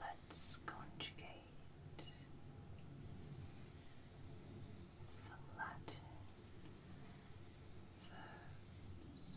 Let's conjugate some Latin verbs.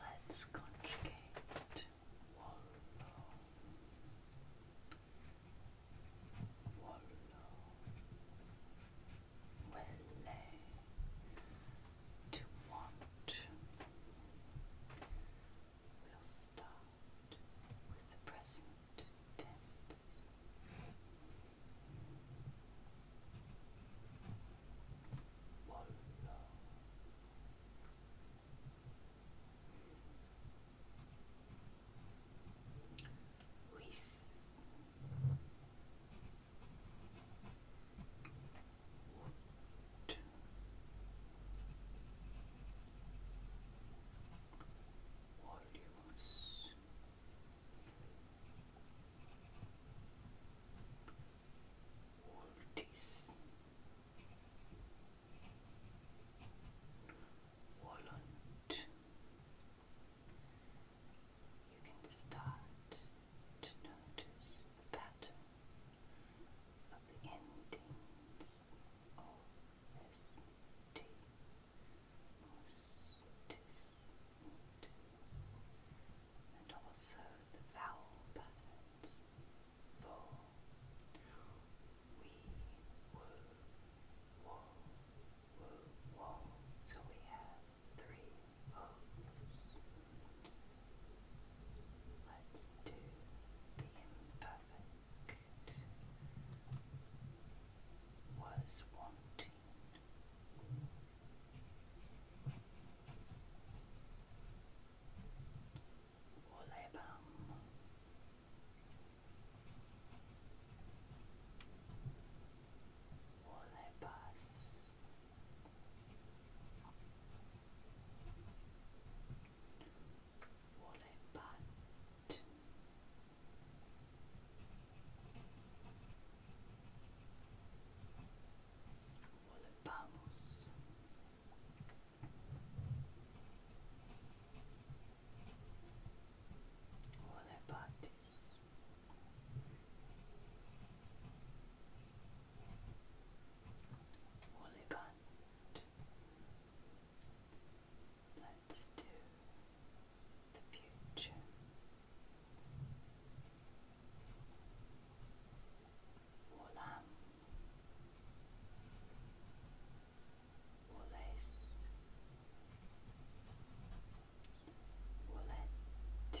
Let's conjugate wallow, wallow, will to want, We'll start with the present tense. Wallow two, You can start to notice the pattern of the endings O S T and also the vowel patterns for we woo woo woo so we have three O's. Let's do the imperfect was wanting. Olebam. Olebas. Wallet butt. Volvamos. All their bodies. All Let's do the future. Olam, Olace, Olet,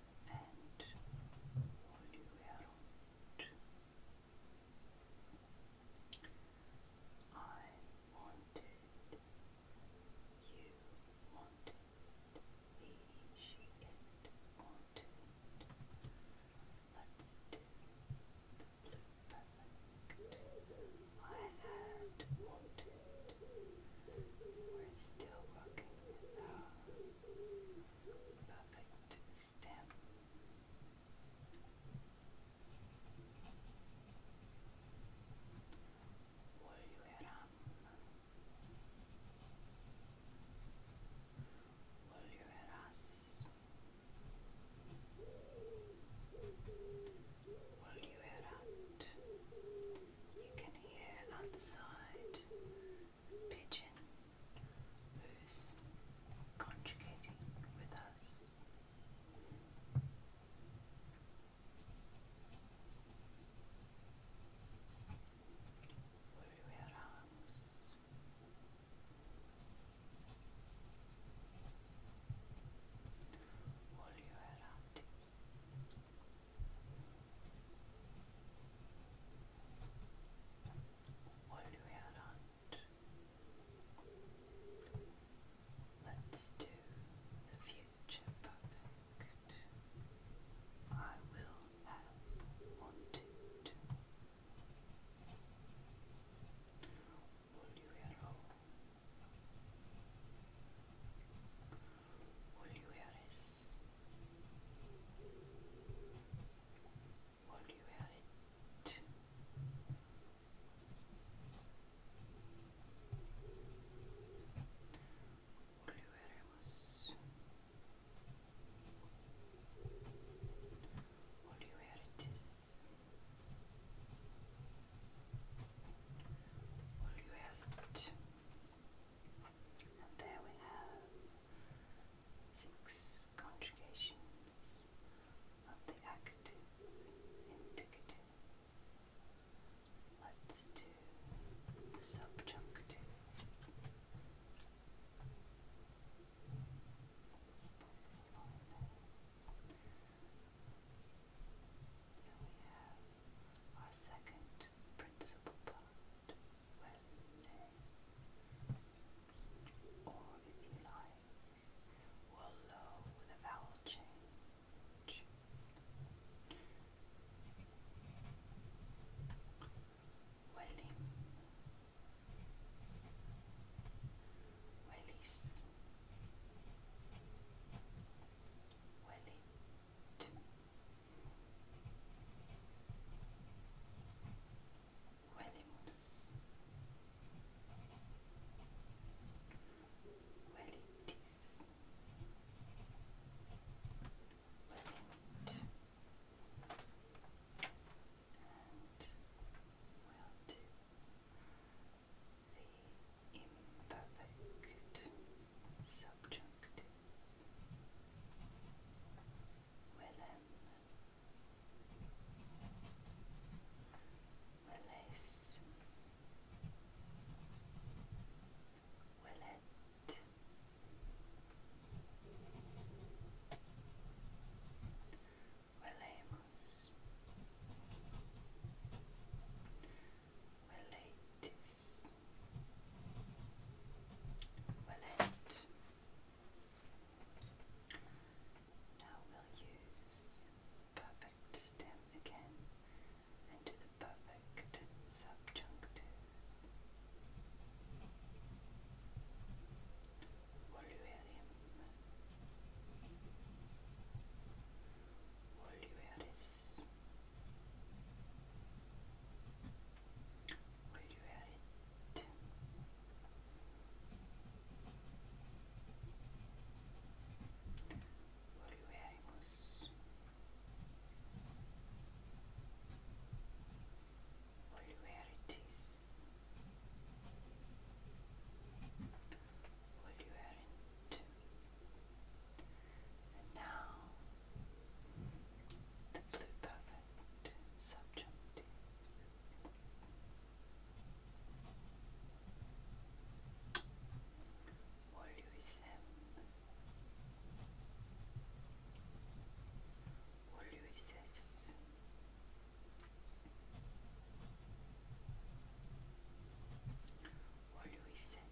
and all the way I wanted, you wanted, he, she, it Let's do the perfect. I had wanted. We're still working with perfect stem. Volverán, volverás, volverán. You can hear outside pigeon who's conjugating with us. Everywhere else. All your relatives, what do we add Let's do the future perfect. I will have wanted. Will you at oluyoruz. Oluyoruz. Oluyoruz. Oluyoruz. Oluyoruz. And there we have six conjugations of the active indicative. Let's do the subjunctive. Here we have our second principal Wednesday. Or if you like, we'll low vowel change. Welling. Wellies. Welling. Huelemos. Huelitis. Huelimit. And will imperfect. So subject Willem Willis Willett Willamus Willatis Will it? Now we'll use perfect stem again and do the perfect subjunctive. Voluerium. Volueris. Where you at? Volveremos. Volverities. Volverent. And now the blue perfect subject. Oluisem Oluises Oluiset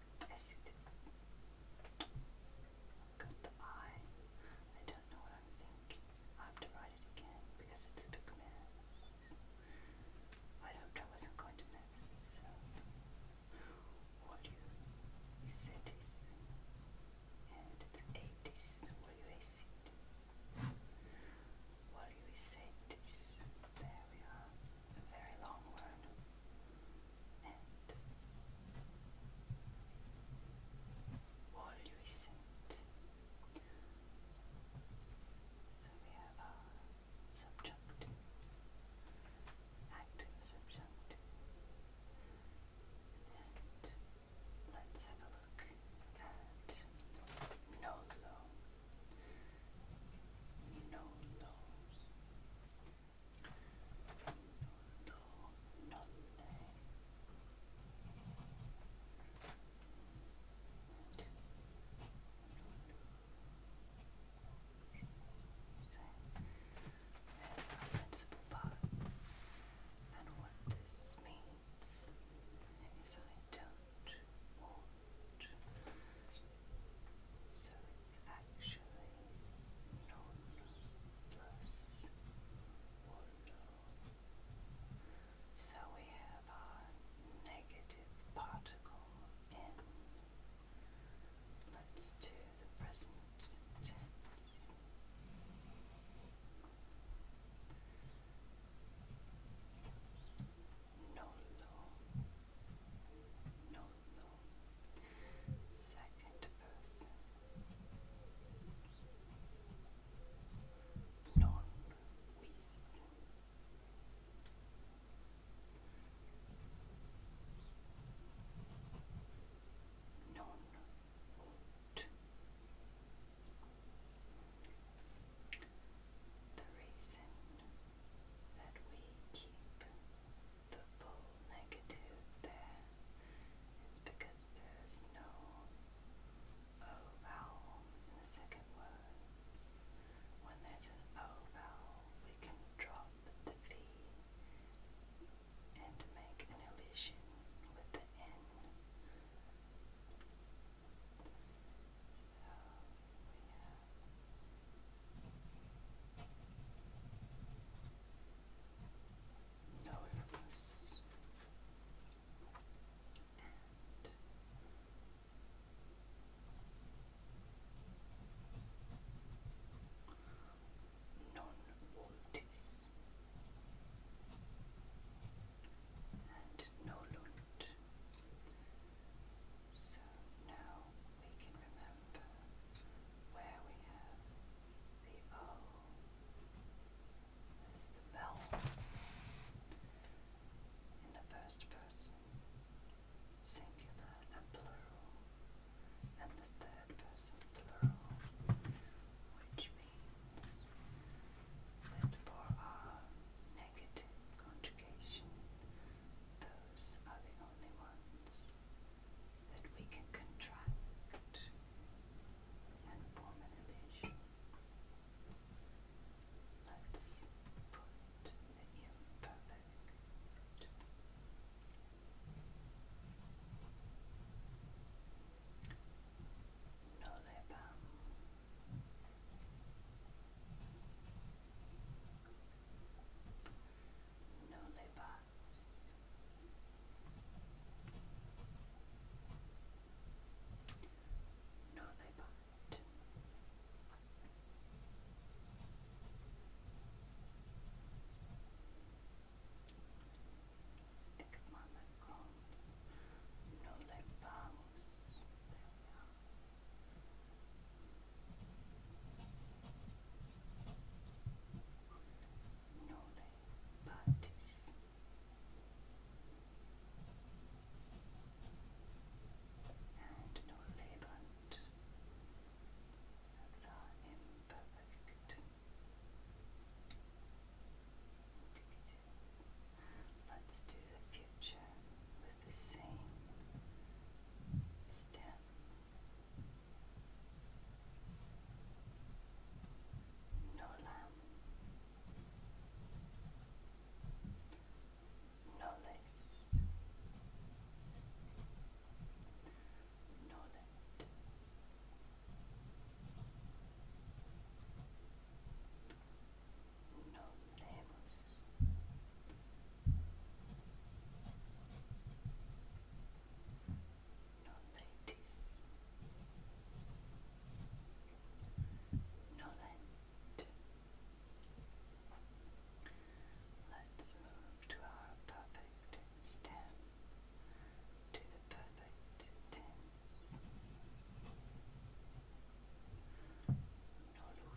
Yes, it is. Got I don't know what I'm thinking. I have to write it again because it's a big mess. I hoped I wasn't going to mess What do you said is and it's eighties. What do you say? What do you say? There we are. A very long one. And Walluisant. So we have our subject, active subject. And let's have a look at Nolo. Nolo's do nothing principal parts and what this means is I don't want so it's actually non plus one. So we have our negative particle in. Let's do the present tense. Nolo, second person non wis non ut the reason that we keep the full negative there is because there is no O vowel in the second word. When there's an O vowel, we can drop the V and make an elision with the N. So we have Normus and non-Waltis and no Lund. So now we can remember where we have the O. There's the bell in the first person, singular and plural, and the third person plural, which means that for our negative conjugation, those are the only ones that we can contract and form an illusion. Let's put the imperfect nolebam newly passed. Newly bought. Think of my macarons. Newly bows. There Northern parties. And Northern that's our imperfect Let's do the future with the same stem Nola Nolis Nolet Nolemos no ladies. No land. Let's move to our perfect stem, to the perfect tense. No Louis.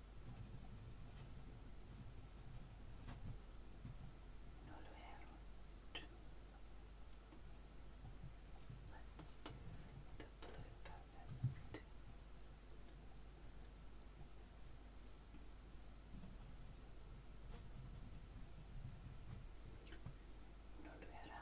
Noruero two. Let's do the blue perfect. Noruera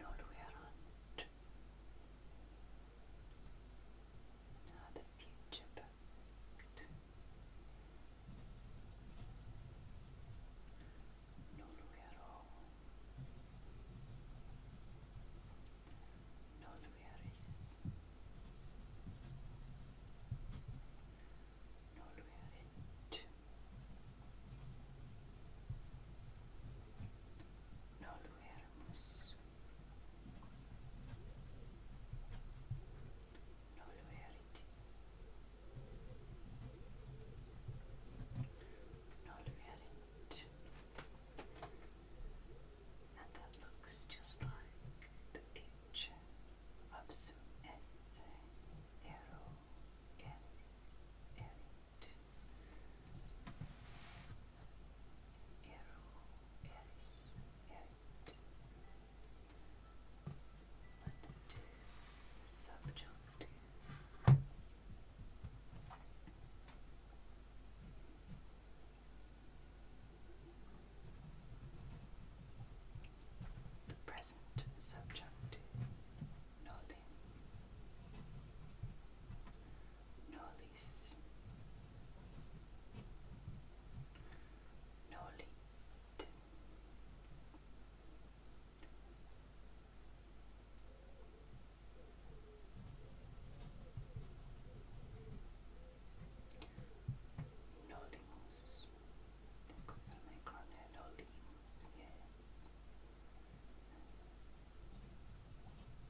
Norrland. Now the future perfect. Norrvero. Norrveris. Norverit. Nolvermus. Nolveritis. Nolverit. And that looks just like the picture of some in it. Ero eris erit. Let's do subjunct. The present subjunct, Nolis. Nolit. Nolimus. Look for my corner. Nolimus, yes. Nolint. And we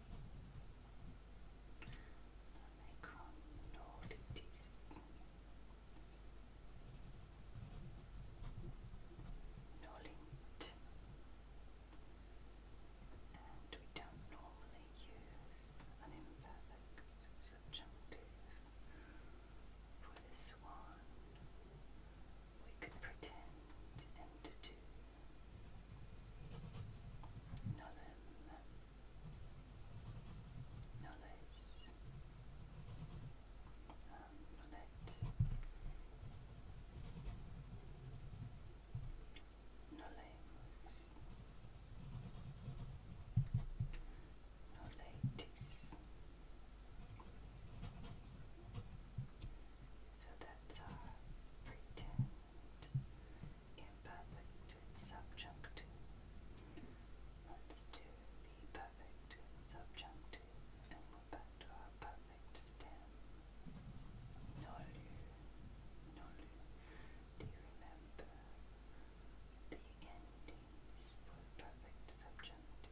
don't normally use an imperfect subjunctive for this one we could pretend and do nothing, no less. Um, let, no so that's our pretend, subjunctive. Let's do the perfect subjunctive and we're back to our perfect stem. Nolu, nolu. Do you remember the endings for perfect subjunctive?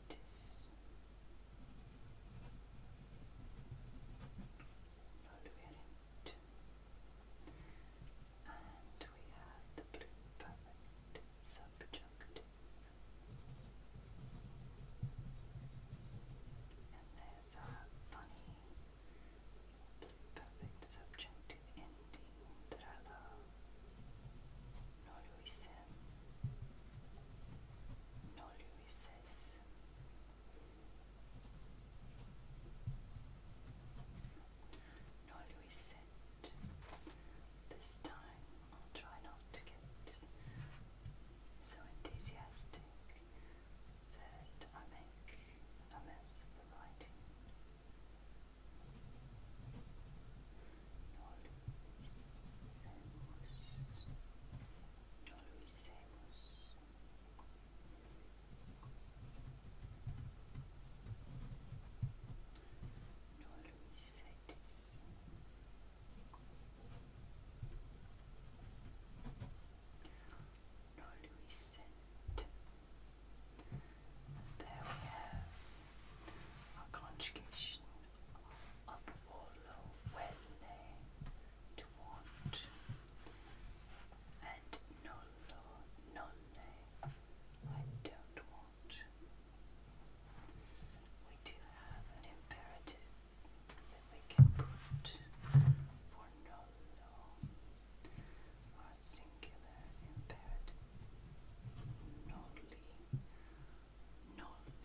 notice. Nolurient. we have the blue permanent subjunctive. And there's our funny blue perfect subjunctive ending that I love no lo no lo no lo This time I'll try not to get so enthusiastic that I make a mess of writing no lo hicimos. No lo No lo There we have our conjugation up or low when to want and null or null I don't want. We do have an imperative that we can put for null or singular imperative nully non and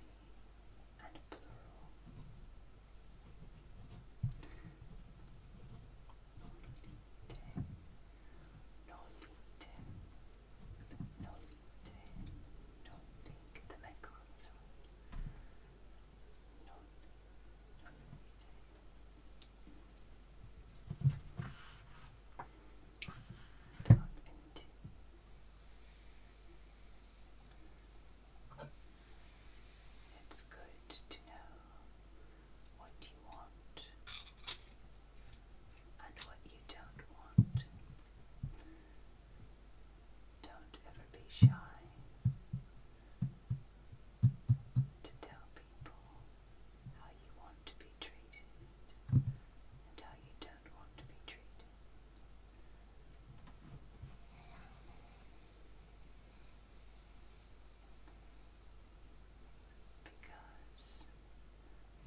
plural. Nolite, nolite, nolite, nolite. Get the macarons right. Non, nolite. Down into. Down into. It's good to know what you want and what you don't want. Don't ever be shy to tell people how you want to be treated and how you don't want to be treated. Because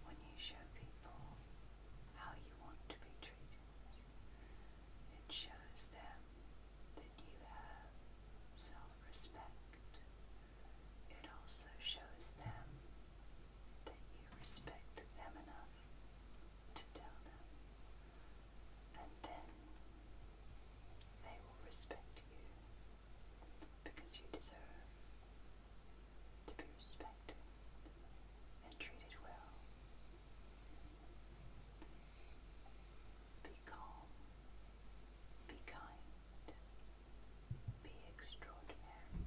when you show people how you want to be treated, it shows them that you have self respect. It also shows them that you respect them enough to tell them, and then they will respect you because you deserve to be respected and treated well. Be calm, be kind, be extraordinary.